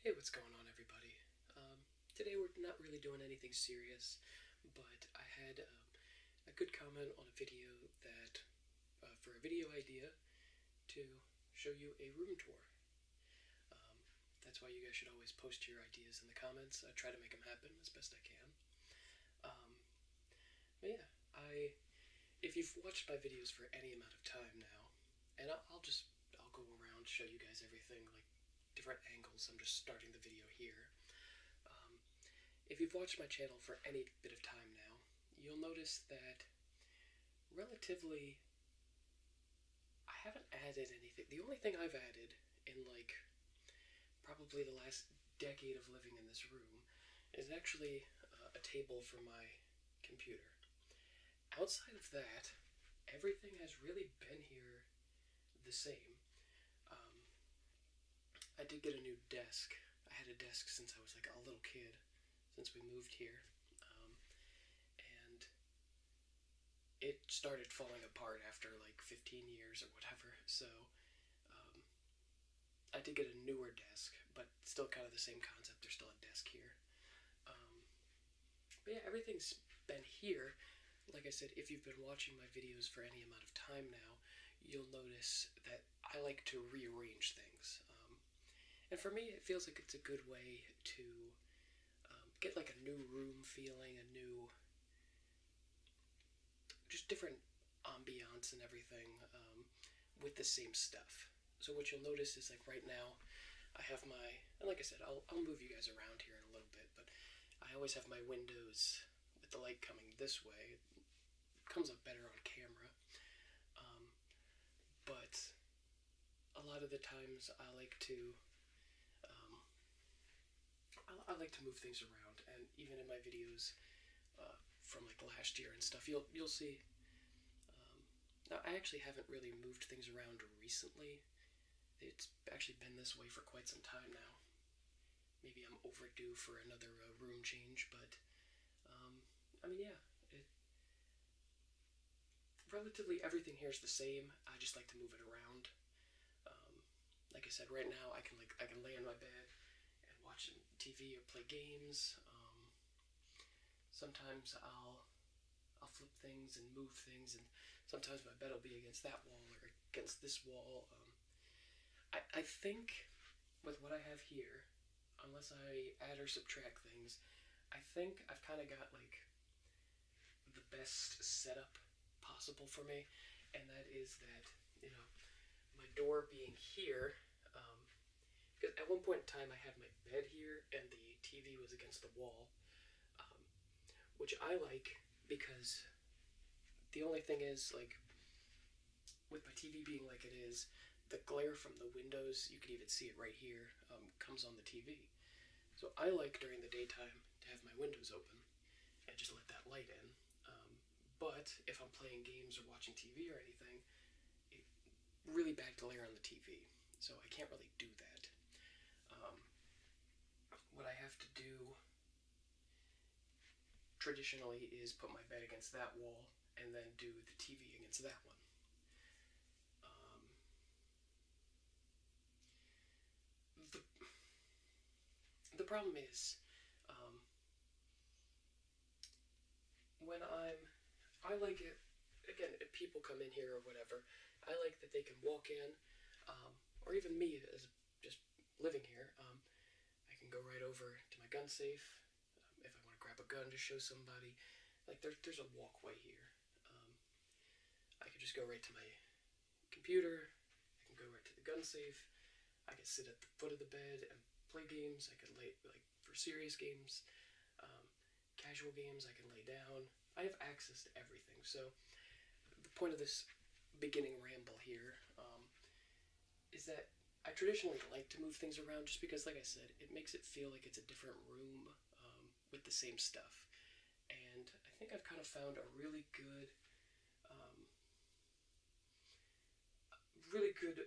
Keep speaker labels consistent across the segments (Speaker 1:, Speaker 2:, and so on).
Speaker 1: Hey, what's going on, everybody? Um, today we're not really doing anything serious, but I had um, a good comment on a video that, uh, for a video idea, to show you a room tour. Um, that's why you guys should always post your ideas in the comments. I try to make them happen as best I can. but yeah, I, if you've watched my videos for any amount of time now, and I'll, just I'll go around show you guys everything like different angles. I'm just starting the video here. Um, if you've watched my channel for any bit of time now, you'll notice that relatively I haven't added anything. The only thing I've added in like probably the last decade of living in this room is actually uh, a table for my computer outside of that, everything has really been here the same. Um, I did get a new desk. I had a desk since I was like a little kid, since we moved here. Um, and it started falling apart after like 15 years or whatever, so um, I did get a newer desk, but still kind of the same concept. There's still a desk here yeah, everything's been here. Like I said, if you've been watching my videos for any amount of time now, you'll notice that I like to rearrange things. Um, and for me, it feels like it's a good way to um, get like a new room feeling, a new, just different ambiance and everything um, with the same stuff. So what you'll notice is like right now, I have my, and like I said, I'll, I'll move you guys around here in a little bit, but I always have my windows with the light coming this way. It comes up better on camera. Um, but a lot of the times I like to, um, I, like to move things around. And even in my videos uh, from like last year and stuff, you'll, you'll see um, now, I actually haven't really moved things around recently. It's actually been this way for quite some time now. Maybe I'm overdue for another uh, room change, but um, I mean, yeah. relatively everything here is the same. I just like to move it around. Um, like I said, right now I can like I can lay in my bed and watch TV or play games. Um, sometimes I'll I'll flip things and move things, and sometimes my bed will be against that wall or against this wall. Um, I, I think with what I have here, unless I add or subtract things, I think I've kind of got like the best setup possible for me, and that is that, you know, my door being here, um, because at one point in time, I had my bed here and the TV was against the wall, um, which I like because the only thing is, like, with my TV being like it is, the glare from the windows, you can even see it right here, um, comes on the TV. So I like during the daytime to have my windows open and just let that light in. Um, but if I'm playing games or watching TV or anything, it really bad to lay on the TV, so I can't really do that. Um, what I have to do traditionally is put my bed against that wall and then do the TV against that one. Um, the, the problem is, um, when I'm, I like it, again, if people come in here or whatever, I like that they can walk in, um, or even me as just living here, um, I can go right over to my gun safe um, if I want to grab a gun to show somebody. Like there's a walkway here. I could just go right to my computer. I can go right to the gun safe. I could sit at the foot of the bed and play games. I could lay like for serious games casual games, I can lay down. I have access to everything. So, the point of this beginning ramble here um, is that I traditionally like to move things around just because, like I said, it makes it feel like it's a different room um, with the same stuff. And I think I've kind of found a really good, um, really good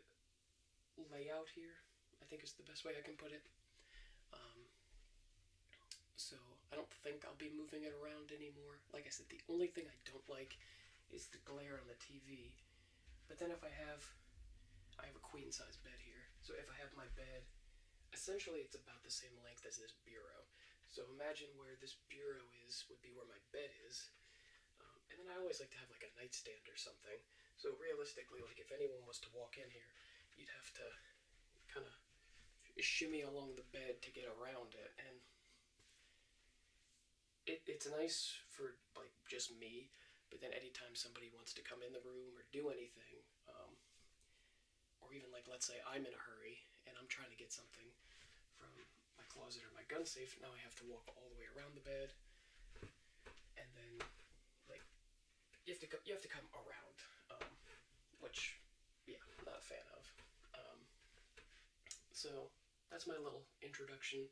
Speaker 1: layout here, I think is the best way I can put it. Um, so I don't think I'll be moving it around anymore. Like I said, the only thing I don't like is the glare on the TV. But then if I have, I have a queen size bed here. So if I have my bed, essentially it's about the same length as this bureau. So imagine where this bureau is would be where my bed is. Um, and then I always like to have like a nightstand or something so realistically, like if anyone was to walk in here, you'd have to kind of shimmy along the bed to get around it. And it's nice for like just me, but then anytime somebody wants to come in the room or do anything, um, or even like let's say I'm in a hurry and I'm trying to get something from my closet or my gun safe, now I have to walk all the way around the bed and then like you have to you have to come around, um, which yeah, I'm not a fan of. Um, so that's my little introduction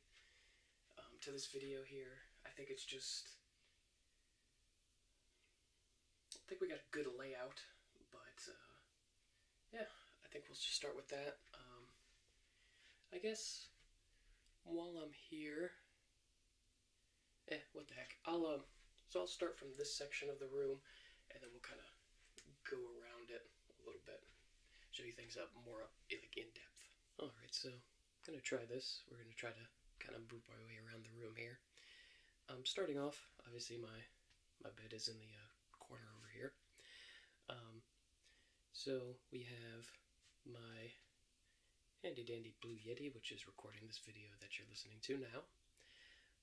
Speaker 1: um, to this video here. I think it's just I think we got a good layout, but uh, yeah, I think we'll just start with that. I guess while I'm here, eh, what the heck. I'll, um, so I'll start from this section of the room, and then we'll kind of go around it a little bit, show you things up more up, like in depth. All right, so I'm gonna try this. We're gonna try to kind of move our way around the room here. Um, starting off, obviously my my bed is in the uh, corner over here. Um, so we have my handy dandy Blue Yeti, which is recording this video that you're listening to now.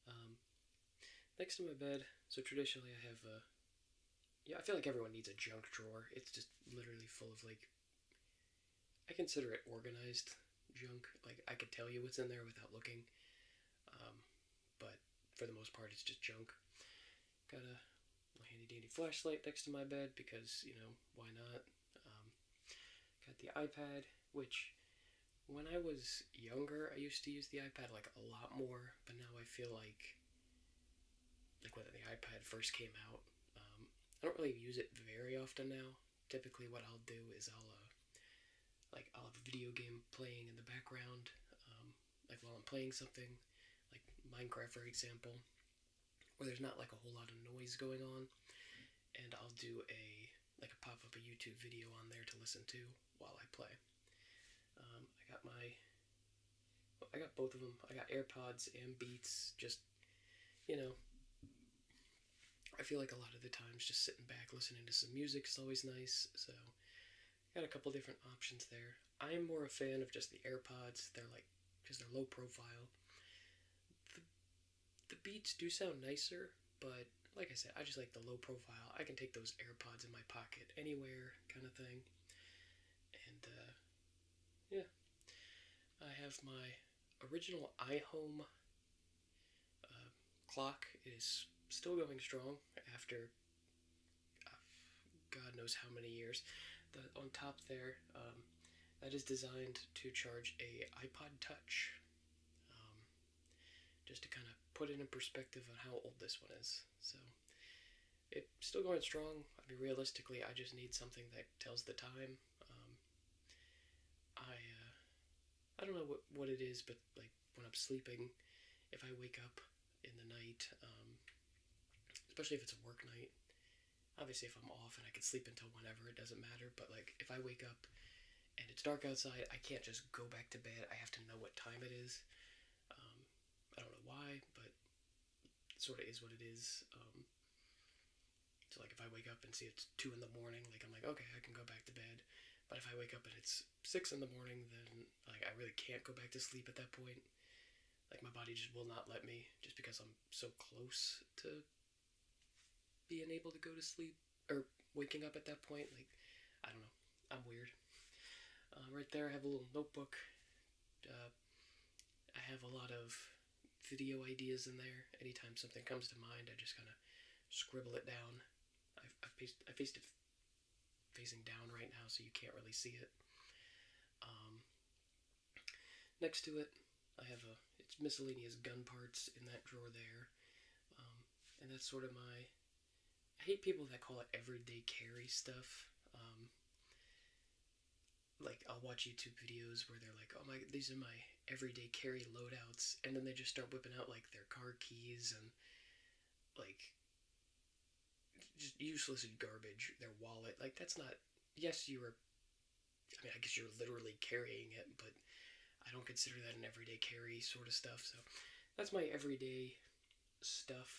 Speaker 1: Um, next to my bed, so traditionally I have a. Yeah, I feel like everyone needs a junk drawer. It's just literally full of like. I consider it organized junk. Like I could tell you what's in there without looking, um, but for the most part, it's just junk. Got a handy dandy flashlight next to my bed because you know why not. Um, got the iPad, which when I was younger, I used to use the iPad like a lot more, but now I feel like like when the iPad first came out, um, I don't really use it very often now. Typically, what I'll do is I'll uh, like I'll have a video game playing in the background, um, like while I'm playing something, like Minecraft for example, where there's not like a whole lot of noise going on, and I'll do a like a pop up a YouTube video on there to listen to while I play. Um, I got my, I got both of them. I got AirPods and Beats. Just, you know, I feel like a lot of the times just sitting back listening to some music is always nice. So, got a couple different options there. I am more a fan of just the AirPods. They're like because they're low profile. The, beats do sound nicer, but like I said, I just like the low profile. I can take those AirPods in my pocket anywhere kind of thing. And uh, yeah, I have my original iHome uh, clock. is still going strong after uh, God knows how many years. The, on top there, um, that is designed to charge a iPod Touch. Um, just to kind of put it in perspective on how old this one is. So it's still going strong. I mean, realistically, I just need something that tells the time. Um, I uh, I don't know what, what it is, but like when I'm sleeping, if I wake up in the night, especially if it's a work night, obviously if I'm off and I can sleep until whenever, it doesn't matter, but like if I wake up and it's dark outside, I can't just go back to bed. I have to know what time it is. Um, I don't know why, but sort of is what it is. Um, so like if I wake up and see it's two in the morning, like I'm like, okay, I can go back to bed. But if I wake up and it's six in the morning, then like I really can't go back to sleep at that point like my body just will not let me just because I'm so close to being able to go to sleep or waking up at that point. Like, I don't know. I'm weird. Um, right there, I have a little notebook. Uh, I have a lot of video ideas in there. Anytime something comes to mind, I just kind of scribble it down. I've, I've, paced, faced it facing down right now, so you can't really see it. Um, Next to it, I have a it's miscellaneous gun parts in that drawer there, um, and that's sort of my. I hate people that call it everyday carry stuff. Um, like I'll watch YouTube videos where they're like, "Oh my, these are my everyday carry loadouts," and then they just start whipping out like their car keys and like just useless garbage, their wallet. Like that's not. Yes, you were. I mean, I guess you're literally carrying it, but I don't consider that an everyday carry sort of stuff. So that's my everyday stuff.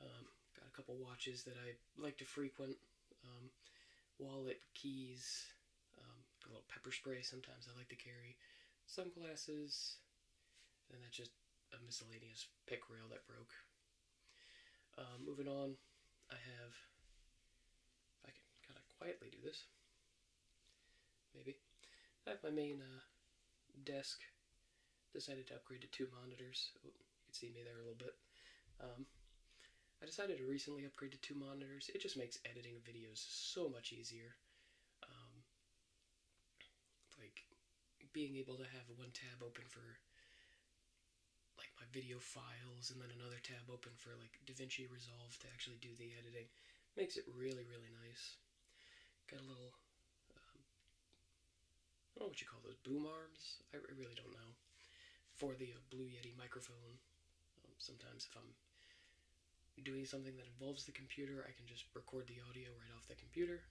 Speaker 1: Um, got a couple watches that I like to frequent. Um, wallet, keys, um, a little pepper spray. Sometimes I like to carry sunglasses, and that's just a miscellaneous pick rail that broke. Uh, moving on, I have, I can kind of quietly do this, maybe, I have my main uh, desk decided to upgrade to two monitors. Oh, you can see me there a little bit. Um, I decided to recently upgrade to two monitors. It just makes editing videos so much easier. Um, like, being able to have one tab open for like my video files and then another tab open for like DaVinci Resolve to actually do the editing makes it really really nice. Got a little, um, I don't know what you call those boom arms. I really don't know for the uh, Blue Yeti microphone. Um, sometimes if I'm doing something that involves the computer, I can just record the audio right off the computer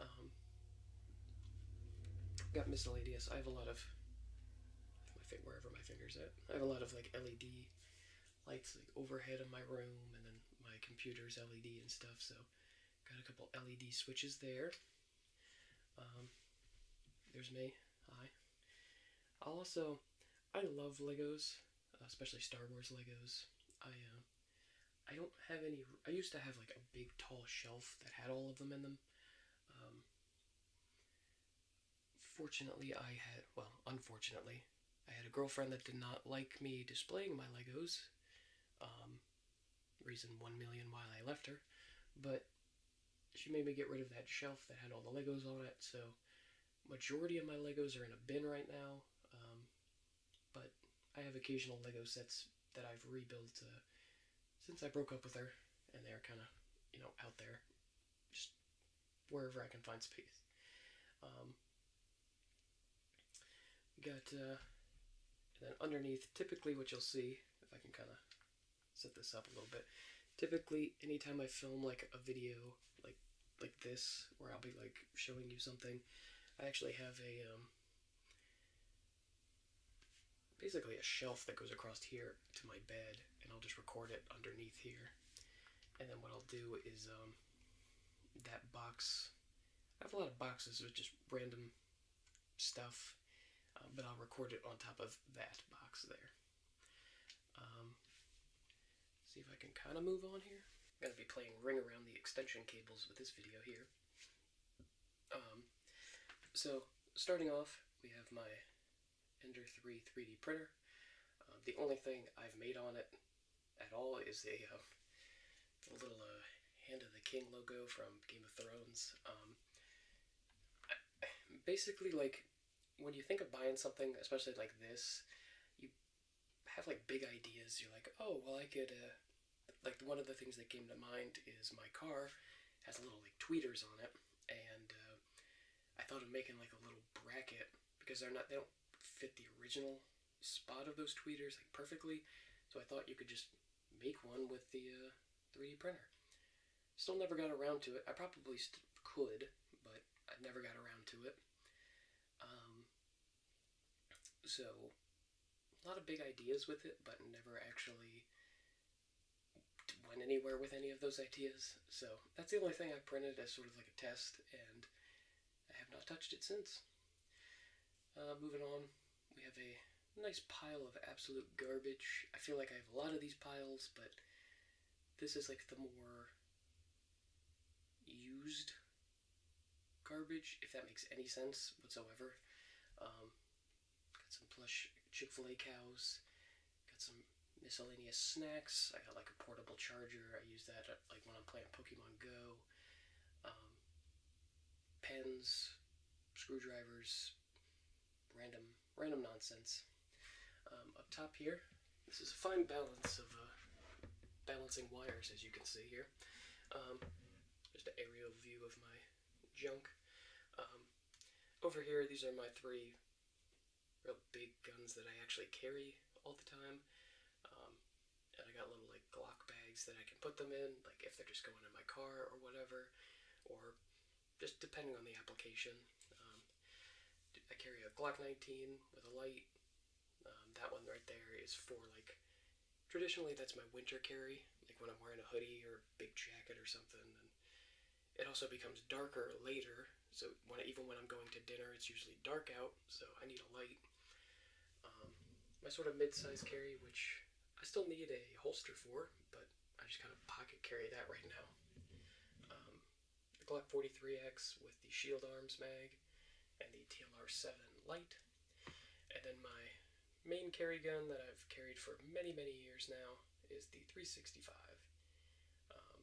Speaker 1: um, got miscellaneous. I have a lot of my finger wherever my fingers at. I have a lot of like LED lights like overhead in my room, and then my computer's LED and stuff. So got a couple LED switches there. Um, there's me. Hi. also I love Legos, especially Star Wars Legos. I uh, I don't have any. I used to have like a big tall shelf that had all of them in them. Um, fortunately, I had well, unfortunately, I had a girlfriend that did not like me displaying my Legos. Um, reason one million why I left her, but she made me get rid of that shelf that had all the Legos on it. So, majority of my Legos are in a bin right now. Um, but I have occasional Lego sets that I've rebuilt uh, since I broke up with her, and they're kind of, you know, out there, just wherever I can find space. Um, got, uh, then underneath, typically what you'll see, if I can kind of set this up a little bit, typically anytime I film like a video like like this, where I'll be like showing you something, I actually have a um, basically a shelf that goes across here to my bed, and I'll just record it underneath here. And then what I'll do is um, that box. I have a lot of boxes with just random stuff, um, but I'll record it on top of that box there. Um, see if I can kind of move on here. I'm going to be playing Ring Around the Extension Cables with this video here. Um, so starting off, we have my Ender 3 3D printer. Um, the only thing I've made on it at all is a, um, little uh, Hand of the King logo from Game of Thrones. basically, like, when you think of buying something, especially like this, you have like big ideas. You're like, oh well, I could. Uh, like one of the things that came to mind is my car has little like tweeters on it, and uh, I thought of making like a little bracket because they're not they don't fit the original spot of those tweeters like perfectly. So I thought you could just make one with the uh, 3D printer. Still never got around to it. I probably could, but I never got around to it. Um, so, a lot of big ideas with it, but never actually went anywhere with any of those ideas. So, that's the only thing I printed as sort of like a test, and I have not touched it since. Uh, moving on, we have a nice pile of absolute garbage. I feel like I have a lot of these piles, but this is like the more used garbage, if that makes any sense whatsoever. Um, got some plush Chick fil A cows, got some miscellaneous snacks. I got like a portable charger. I use that uh, like when I'm playing Pokemon Go. Um, pens, screwdrivers, random random nonsense. Um, up top here, this is a fine balance of uh, balancing wires, as you can see here just an aerial view of my junk. Um, over here, these are my three real big guns that I actually carry all the time. Um, and I got little like Glock bags that I can put them in, like if they're just going in my car or whatever, or just depending on the application. Um, I carry a Glock 19 with a light, um, that one right there is for like traditionally that's my winter carry, like when I'm wearing a hoodie or a big jacket or something. it also becomes darker later, so when even when I'm going to dinner, it's usually dark out, so I need a light. Um, my sort of mid-size carry, which I still need a holster for, but I just kind of pocket carry that right now. Um, Glock 43X with the Shield Arms mag and the TLR 7 Light and then my main carry gun that I've carried for many, many years now is the 365. Um,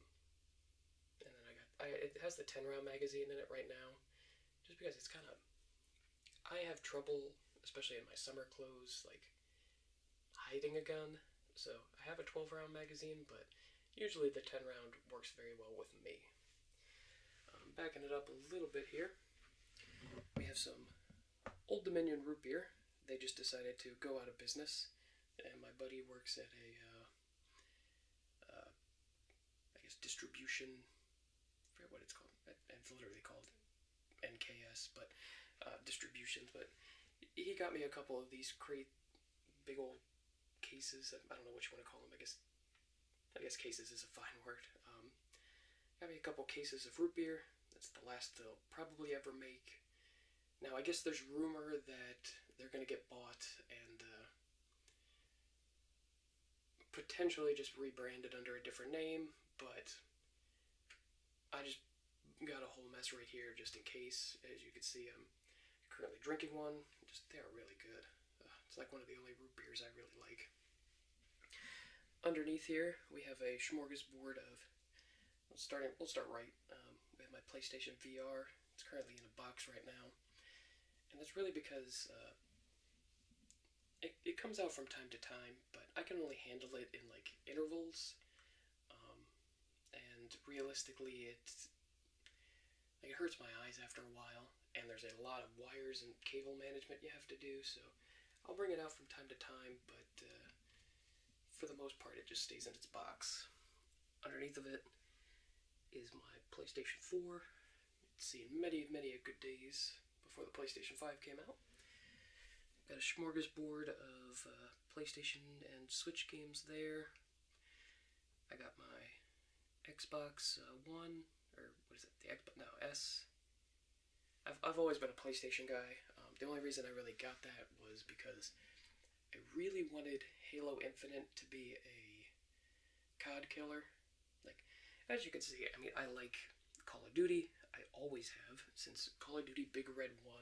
Speaker 1: and then I got, it has the 10 round magazine in it right now, just because it's kind of, I have trouble, especially in my summer clothes, like hiding a gun. So I have a 12 round magazine, but usually the 10 round works very well with me. Um, backing it up a little bit here, we have some Old Dominion root beer. They just decided to go out of business, and my buddy works at a, uh, uh, guess, distribution, forget what it's called. It's literally called NKS, but uh, distributions. But he got me a couple of these crate, big old cases. I don't know what you want to call them. I guess I guess cases is a fine word. Um, got me a couple cases of root beer. That's the last they'll probably ever make. Now, I guess there's rumor that they're going to get bought and uh, potentially just rebranded under a different name, but I just got a whole mess right here just in case. As you can see, I'm currently drinking one. Just They are really good it's like one of the only root beers I really like. Underneath here, we have a board of. starting. We'll start right. Um, we have my PlayStation VR. It's currently in a box right now, and that's really because uh, it comes out from time to time, but I can only handle it in like intervals, um, and realistically, it's it hurts my eyes after a while, and there's a lot of wires and cable management you have to do. So I'll bring it out from time to time, but uh, for the most part, it just stays in its box. Underneath of it is my PlayStation 4. It's seen many, many good days before the PlayStation 5 came out. Got a smorgasbord of uh, PlayStation and Switch games there. I got my Xbox uh, One, or what is it, the Xbox, no, S. I've, I've always been a PlayStation guy. Um, the only reason I really got that was because I really wanted Halo Infinite to be a COD killer. Like, as you can see, I mean, I like Call of Duty. I always have, since Call of Duty Big Red 1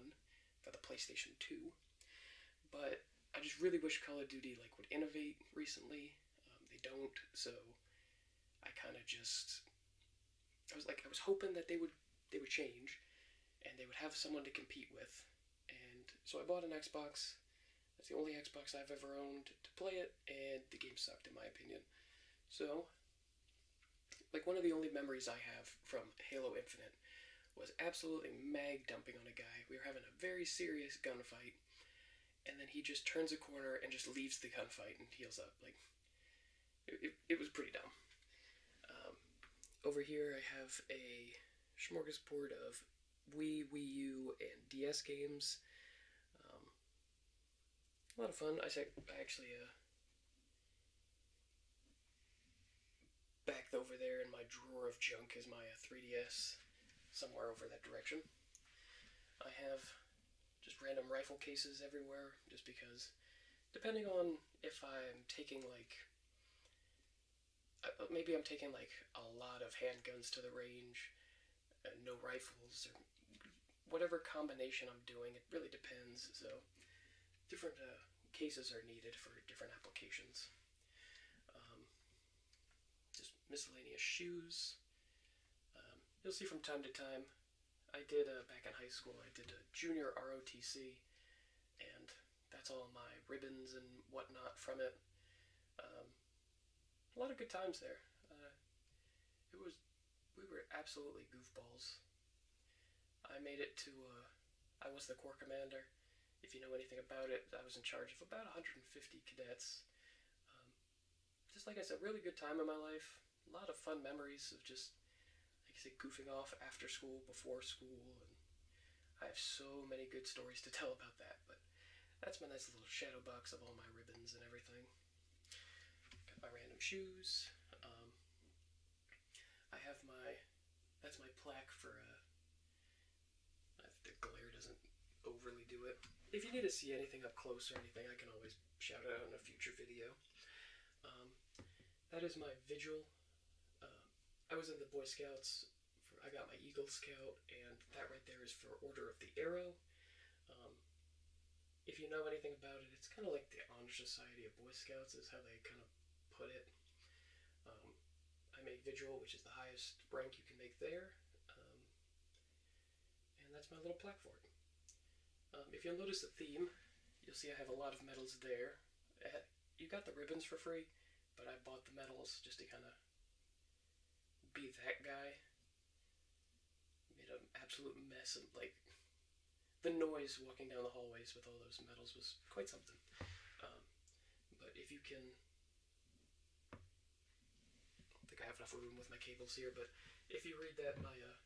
Speaker 1: for the PlayStation 2. But I just really wish Call of Duty, like, would innovate recently um, they don't, so I kind of just I was like I was hoping that they would they would change, and they would have someone to compete with, and so I bought an Xbox. That's the only Xbox I've ever owned to play it, and the game sucked in my opinion. So, like one of the only memories I have from Halo Infinite was absolutely mag dumping on a guy. We were having a very serious gunfight, and then he just turns a corner and just leaves the gunfight and heals up. Like, it, was pretty dumb. Um, over here, I have a smorgasbord of Wii, Wii U, and DS games. Um, a lot of fun. I, I actually uh, back over there in my drawer of junk is my 3DS. Uh, somewhere over that direction. I have just random rifle cases everywhere, just because, depending on if I'm taking like, uh, maybe I'm taking like a lot of handguns to the range, uh, no rifles, or whatever combination I'm doing, it really depends. So, different uh, cases are needed for different applications. Um, just miscellaneous shoes. Um, you'll see from time to time, I did uh, back in high school, I did a junior ROTC, and that's all my ribbons and whatnot from it. Um, a lot of good times there. Uh, it was, we were absolutely goofballs. I made it to, uh, I was the Corps Commander, if you know anything about it, I was in charge of about 150 cadets. Um, just like I said, really good time in my life. A lot of fun memories of just, like I said, goofing off after school, before school, I have so many good stories to tell about that. But that's my nice little shadow box of all my ribbons and everything. Got my random shoes. Um, I have my that's my plaque for uh, the glare doesn't overly do it. If you need to see anything up close or anything, I can always shout it out in a future video. Um, that is my vigil. Um, I was in the Boy Scouts. I got my Eagle Scout, and that right there is for Order of the Arrow. Um, if you know anything about it, it's kind of like the Honor Society of Boy Scouts is how they kind of put it. I make Vigil, which is the highest rank you can make there. Um, and that's my little plaque for it. Um, if you'll notice the theme, you'll see I have a lot of medals there. Uh, you got the ribbons for free, but I bought the medals just to kind of be that guy. Made an absolute mess of, like, the noise walking down the hallways with all those medals was quite something. Um, but if you can I don't think I have enough room with my cables here, but if you read that, my uh,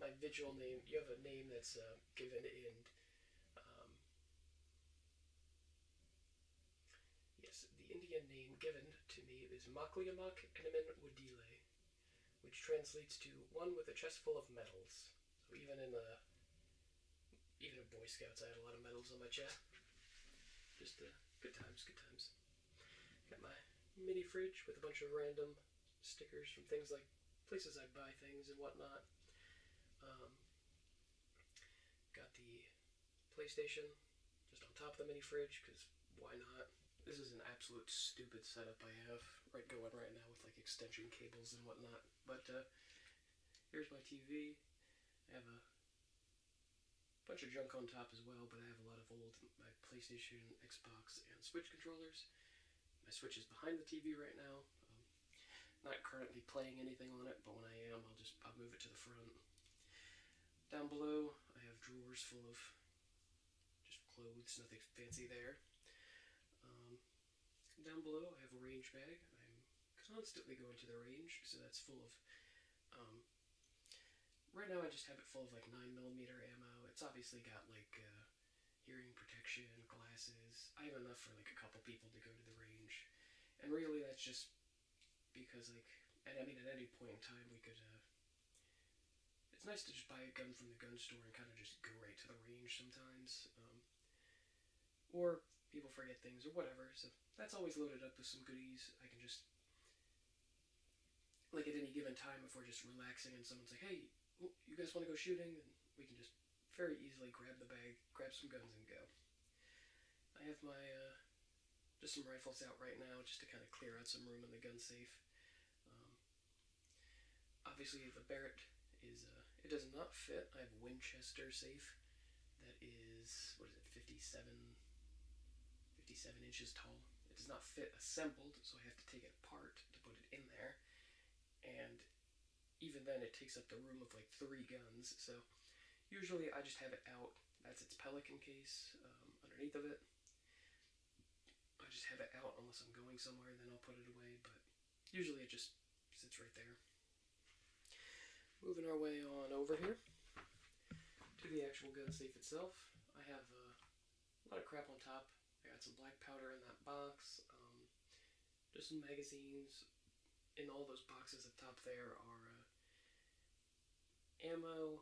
Speaker 1: my vigil name, you have a name that's uh, given in. Um, yes, the Indian name given to me is Makliamak Enamin which translates to one with a chest full of metals. So even in the uh, even a Boy Scout, I had a lot of medals on my chest. Just uh, good times, good times. Got my mini fridge with a bunch of random stickers from things like places I buy things and whatnot. Um, got the PlayStation just on top of the mini fridge because why not? This is an absolute stupid setup I have right going right now with like extension cables and whatnot. But uh, here's my TV. I have a bunch of junk on top as well, but I have a lot of old my PlayStation, Xbox, and Switch controllers. My Switch is behind the TV right now. Um, not currently playing anything on it, but when I am, I'll just I'll move it to the front. Down below, I have drawers full of just clothes, nothing fancy there. Um, down below, I have a range bag constantly go into the range, so that's full of. Um, right now, I just have it full of like nine millimeter ammo. It's obviously got like uh, hearing protection, glasses. I have enough for like a couple people to go to the range, and really that's just because like, and I mean at any point in time we could. Uh, it's nice to just buy a gun from the gun store and kind of just go right to the range sometimes. Um, or people forget things or whatever. So that's always loaded up with some goodies. I can just, like at any given time, if we're just relaxing and someone's like, hey, you guys want to go shooting? And we can just very easily grab the bag, grab some guns, and go. I have my, uh, just some rifles out right now just to kind of clear out some room in the gun safe. Um, obviously, the Barrett is, uh, it does not fit. I have Winchester safe that is, what is it, 57, 57 inches tall. It does not fit assembled, so I have to take it apart to put it in there. And even then it takes up the room of like three guns, so usually I just have it out. That's its pelican case um, underneath of it. I just have it out unless I'm going somewhere, then I'll put it away, but usually it just sits right there. Moving our way on over here to the actual gun safe itself. I have uh, a lot of crap on top. I got some black powder in that box. Um, just some magazines. In all those boxes up top there are uh, ammo,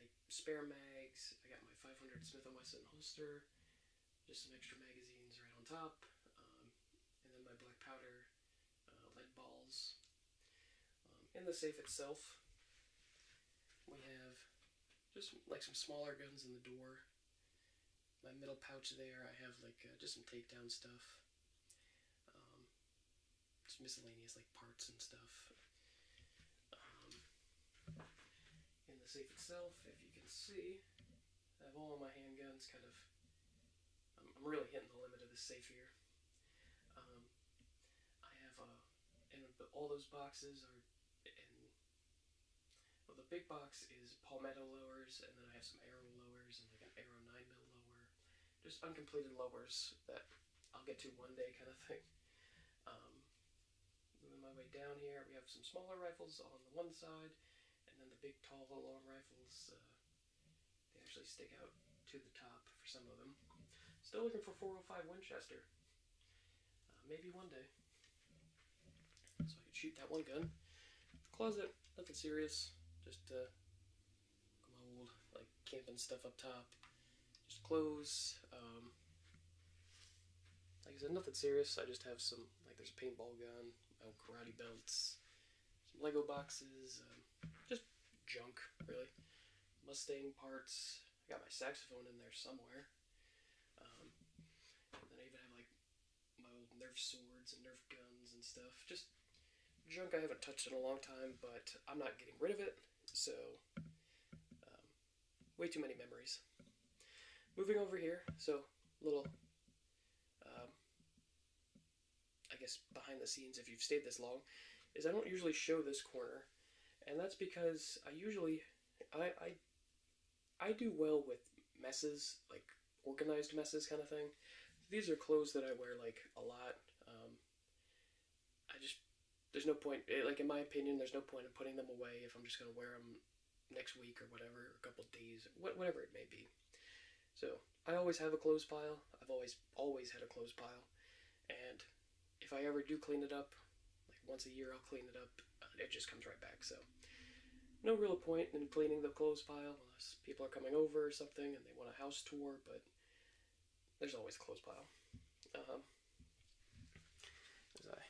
Speaker 1: like spare mags. I got my 500 Smith & Wesson holster. Just some extra magazines right on top. Um, and then my black powder uh, lead balls. Um, in the safe itself, we have just like some smaller guns in the door. My middle pouch there, I have like uh, just some takedown stuff. Um, miscellaneous like parts and stuff. Um, in the safe itself, if you can see, I have all my handguns kind of. I'm, really hitting the limit of the safe here. Um, I have uh, and all those boxes are Well, the big box is palmetto lowers, and then I have some arrow lowers, and I got arrow nine mil lower, just uncompleted lowers that I'll get to one day, kind of thing. Um, my way down here, we have some smaller rifles on the one side, and then the big, tall, long rifles uh, they actually stick out to the top for some of them. Still looking for 405 Winchester. Uh, maybe one day. So I could shoot that one gun. Closet, nothing serious. Just uh, my old like camping stuff up top. Just clothes. Um, like I said, nothing serious. I just have some like there's a paintball gun, my old karate belts, some Lego boxes, um, just junk, really. Mustang parts. I got my saxophone in there somewhere. Um, then I even have like my old Nerf swords and Nerf guns and stuff. Just junk I haven't touched in a long time, but I'm not getting rid of it. So, um, way too many memories. Moving over here, so little I guess behind the scenes if you've stayed this long, is I don't usually show this corner, and that's because I usually I I, do well with messes like organized messes kind of thing. These are clothes that I wear like a lot. Um, I just there's no point eh, like in my opinion there's no point in putting them away if I'm just gonna wear them next week or whatever, a couple days, whatever it may be. So I always have a clothes pile. I've always always had a clothes pile, and if I ever do clean it up, like once a year, I'll clean it up. Uh, it just comes right back. So no real point in cleaning the clothes pile unless people are coming over or something and they want a house tour. But there's always a clothes pile. Um, as I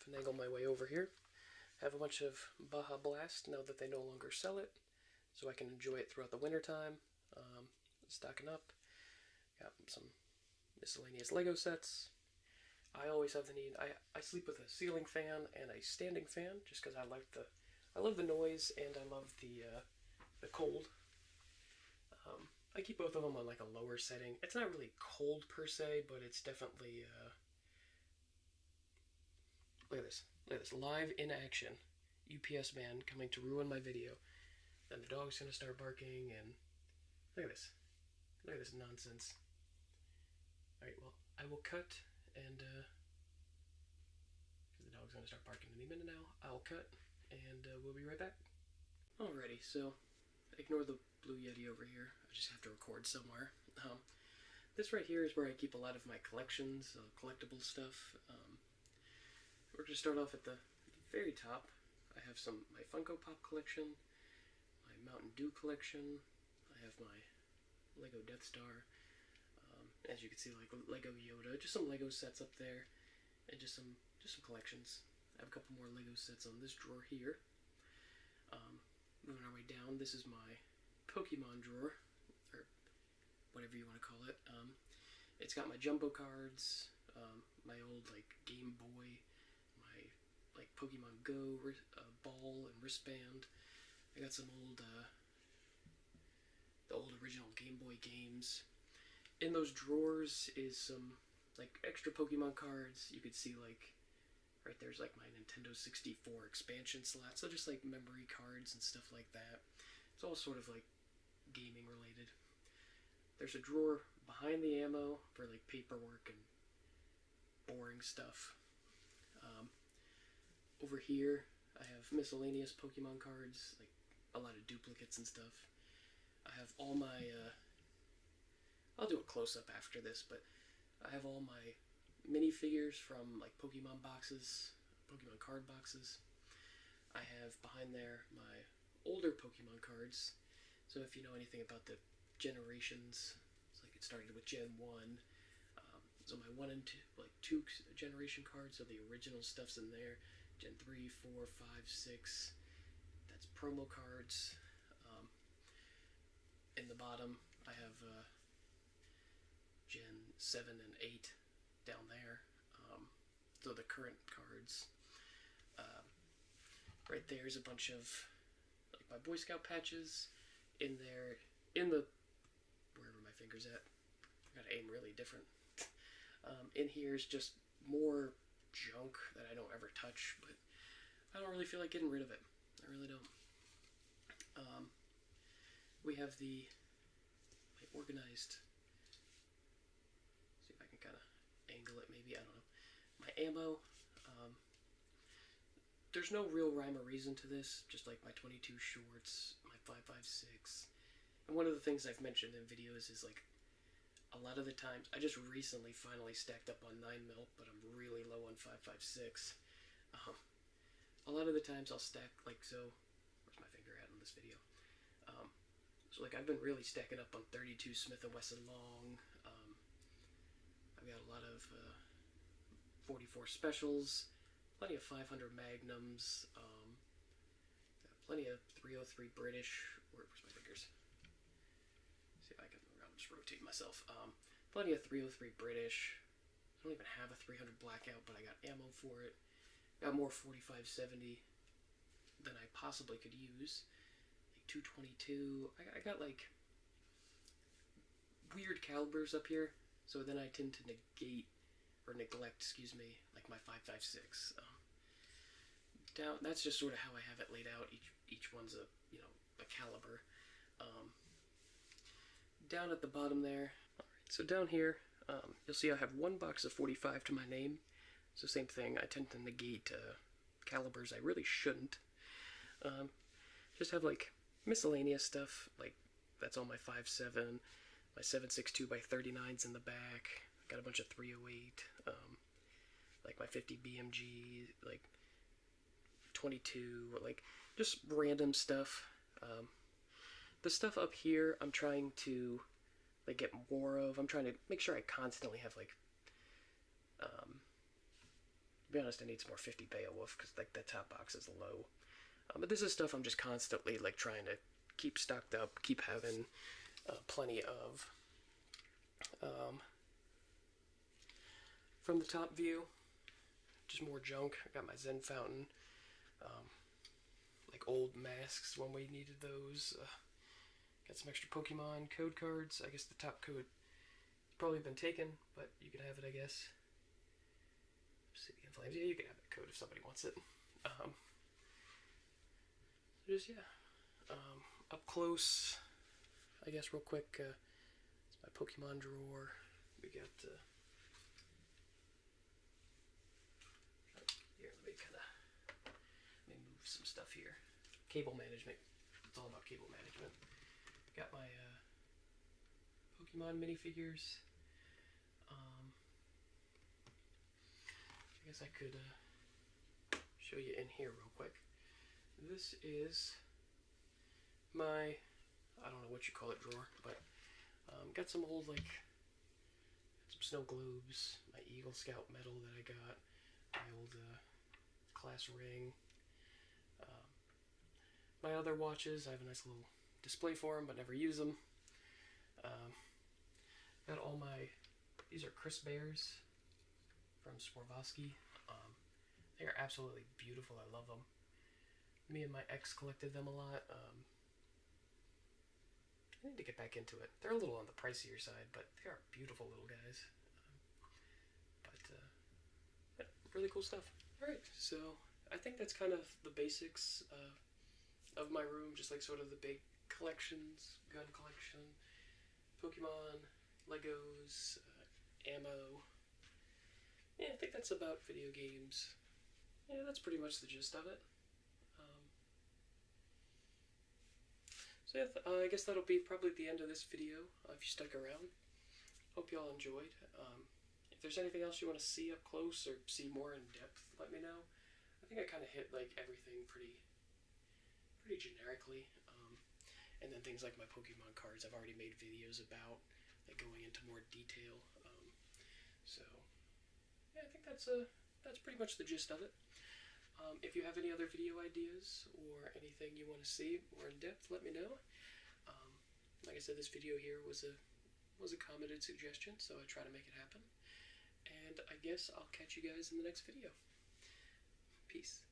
Speaker 1: finagle my way over here have a bunch of Baja Blast now that they no longer sell it, so I can enjoy it throughout the wintertime. Um, stocking up. Got some miscellaneous Lego sets. I always have the need. I, I sleep with a ceiling fan and a standing fan just because I like the I love the noise and I love the uh, the cold. Um, I keep both of them on like a lower setting. It's not really cold per se, but it's definitely uh, Look at this. Look at this. Live in action. UPS man coming to ruin my video. Then the dog's gonna start barking and look at this. Look at this nonsense. Alright, well, I will cut and uh, the dog's gonna start barking any minute now, I'll cut and uh, we'll be right back. Alrighty, so ignore the blue yeti over here. I just have to record somewhere. Um, um, this right here is where I keep a lot of my collections, uh, collectible stuff. Um, we're going to start off at the very top. I have some my Funko Pop collection, my Mountain Dew collection. I have my Lego Death Star. Um, as you can see, like Lego Yoda, just some Lego sets up there, and just some just some collections. I have a couple more Lego sets on this drawer here. Moving our way down, this is my Pokemon drawer, or whatever you want to call it. Um, it's got my jumbo cards, um, my old like Game Boy, my like Pokemon Go uh, ball and wristband. I got some old uh, the old original Game Boy games. In those drawers is some like extra Pokemon cards. You could see like Right there's like my Nintendo 64 expansion slot, so just like memory cards and stuff like that. It's all sort of like gaming related. There's a drawer behind the ammo for like paperwork and boring stuff. Um, over here, I have miscellaneous Pokemon cards, like a lot of duplicates and stuff. I have all my, uh, I'll do a close up after this, but I have all my mini figures from like Pokemon boxes, Pokemon card boxes. I have behind there my older Pokemon cards. So if you know anything about the generations, like it started with Gen 1. Um, so my 1 and 2, like 2 generation cards, so the original stuff's in there. Gen 3, 4, 5, 6. That's promo cards. Um, in the bottom, I have uh, Gen 7 and 8 down there. Um, so the current cards. Um, right there is a bunch of like my Boy Scout patches in there, in the, wherever my finger's at. I gotta aim really different. Um, in here is just more junk that I don't ever touch, but I don't really feel like getting rid of it. I really don't. Um, we have the organized. See if I can kind of angle it, maybe I don't know. My ammo. Um, there's no real rhyme or reason to this. Just like my 22 shorts, my 5.56, and one of the things I've mentioned in videos is like a lot of the times I just recently finally stacked up on 9 mil, but I'm really low on 5.56. Um, a lot of the times I'll stack like so. Where's my finger at in this video? Um, so like I've been really stacking up on 32 Smith & Wesson long. Um, I've got a lot of uh, 44 specials, plenty of 500 magnums, um, plenty of 303 British. Where's my fingers? See if I can I'll just rotate myself. Plenty of 303 British. I don't even have a 300 blackout, but I got ammo for it. Got more 4570 than I possibly could use. Like 222. I, got like weird calibers up here, so then I tend to negate or neglect, excuse me, like my 556. Um, down that's just sort of how I have it laid out. Each each one's a you know a caliber. Um, down at the bottom there, right, so down here, um, you'll see I have one box of 45 to my name. So same thing, I tend to negate uh, calibers I really shouldn't. Um, just have like miscellaneous stuff, like that's all my 5.7, my 7.62 by 39's in the back, got a bunch of 308, like my 50 BMG, like 22, like just random stuff. Um, the stuff up here, I'm trying to like get more of. I'm trying to make sure I constantly have like. Um, to be honest, I need some more 50 Beowulf because like the top box is low. Um, but this is stuff I'm just constantly like trying to keep stocked up, keep having uh, plenty of. Um, from the top view, just more junk. I got my Zen fountain, um, like old masks when we needed those. Uh, got some extra Pokemon code cards. I guess the top code probably been taken, but you can have it, I guess. City in Flames. Yeah, you can have that code if somebody wants it. Um, just yeah, um, up close. I guess real quick. Uh, it's my Pokemon drawer. We got the. Uh, here, let me kind of move some stuff here. Cable management. It's all about cable management. Got my uh, Pokemon minifigures. Um, I guess I could uh, show you in here real quick. This is my I don't know what you call it drawer, but um, got some old like some snow globes, my Eagle Scout medal that I got, my old uh, class ring, um, my other watches. I have a nice little display for them, but never use them. Um, got all my these are Chris Bears from Swarovski. Um, they are absolutely beautiful. I love them. Me and my ex collected them a lot. Um, I need to get back into it. They're a little on the pricier side, but they are beautiful little guys. but, uh, really cool stuff. All right, so I think that's kind of the basics of my room, just like sort of the big collections, gun collection, Pokemon, Legos, uh, ammo, yeah, I think that's about video games. Yeah, that's pretty much the gist of it. Um, so yeah, uh, I guess that'll be probably the end of this video uh, if you stuck around. Hope you all enjoyed. Um, if there's anything else you want to see up close or see more in depth, let me know. I think I kind of hit like everything pretty, pretty generically. Um, and then things like my Pokemon cards, I've already made videos about, going into more detail. Um, so, yeah, I think that's uh, that's pretty much the gist of it. Um, if you have any other video ideas or anything you want to see more in depth, let me know. like I said, this video here was a was a commented suggestion, so I try to make it happen. And I guess I'll catch you guys in the next video. Peace.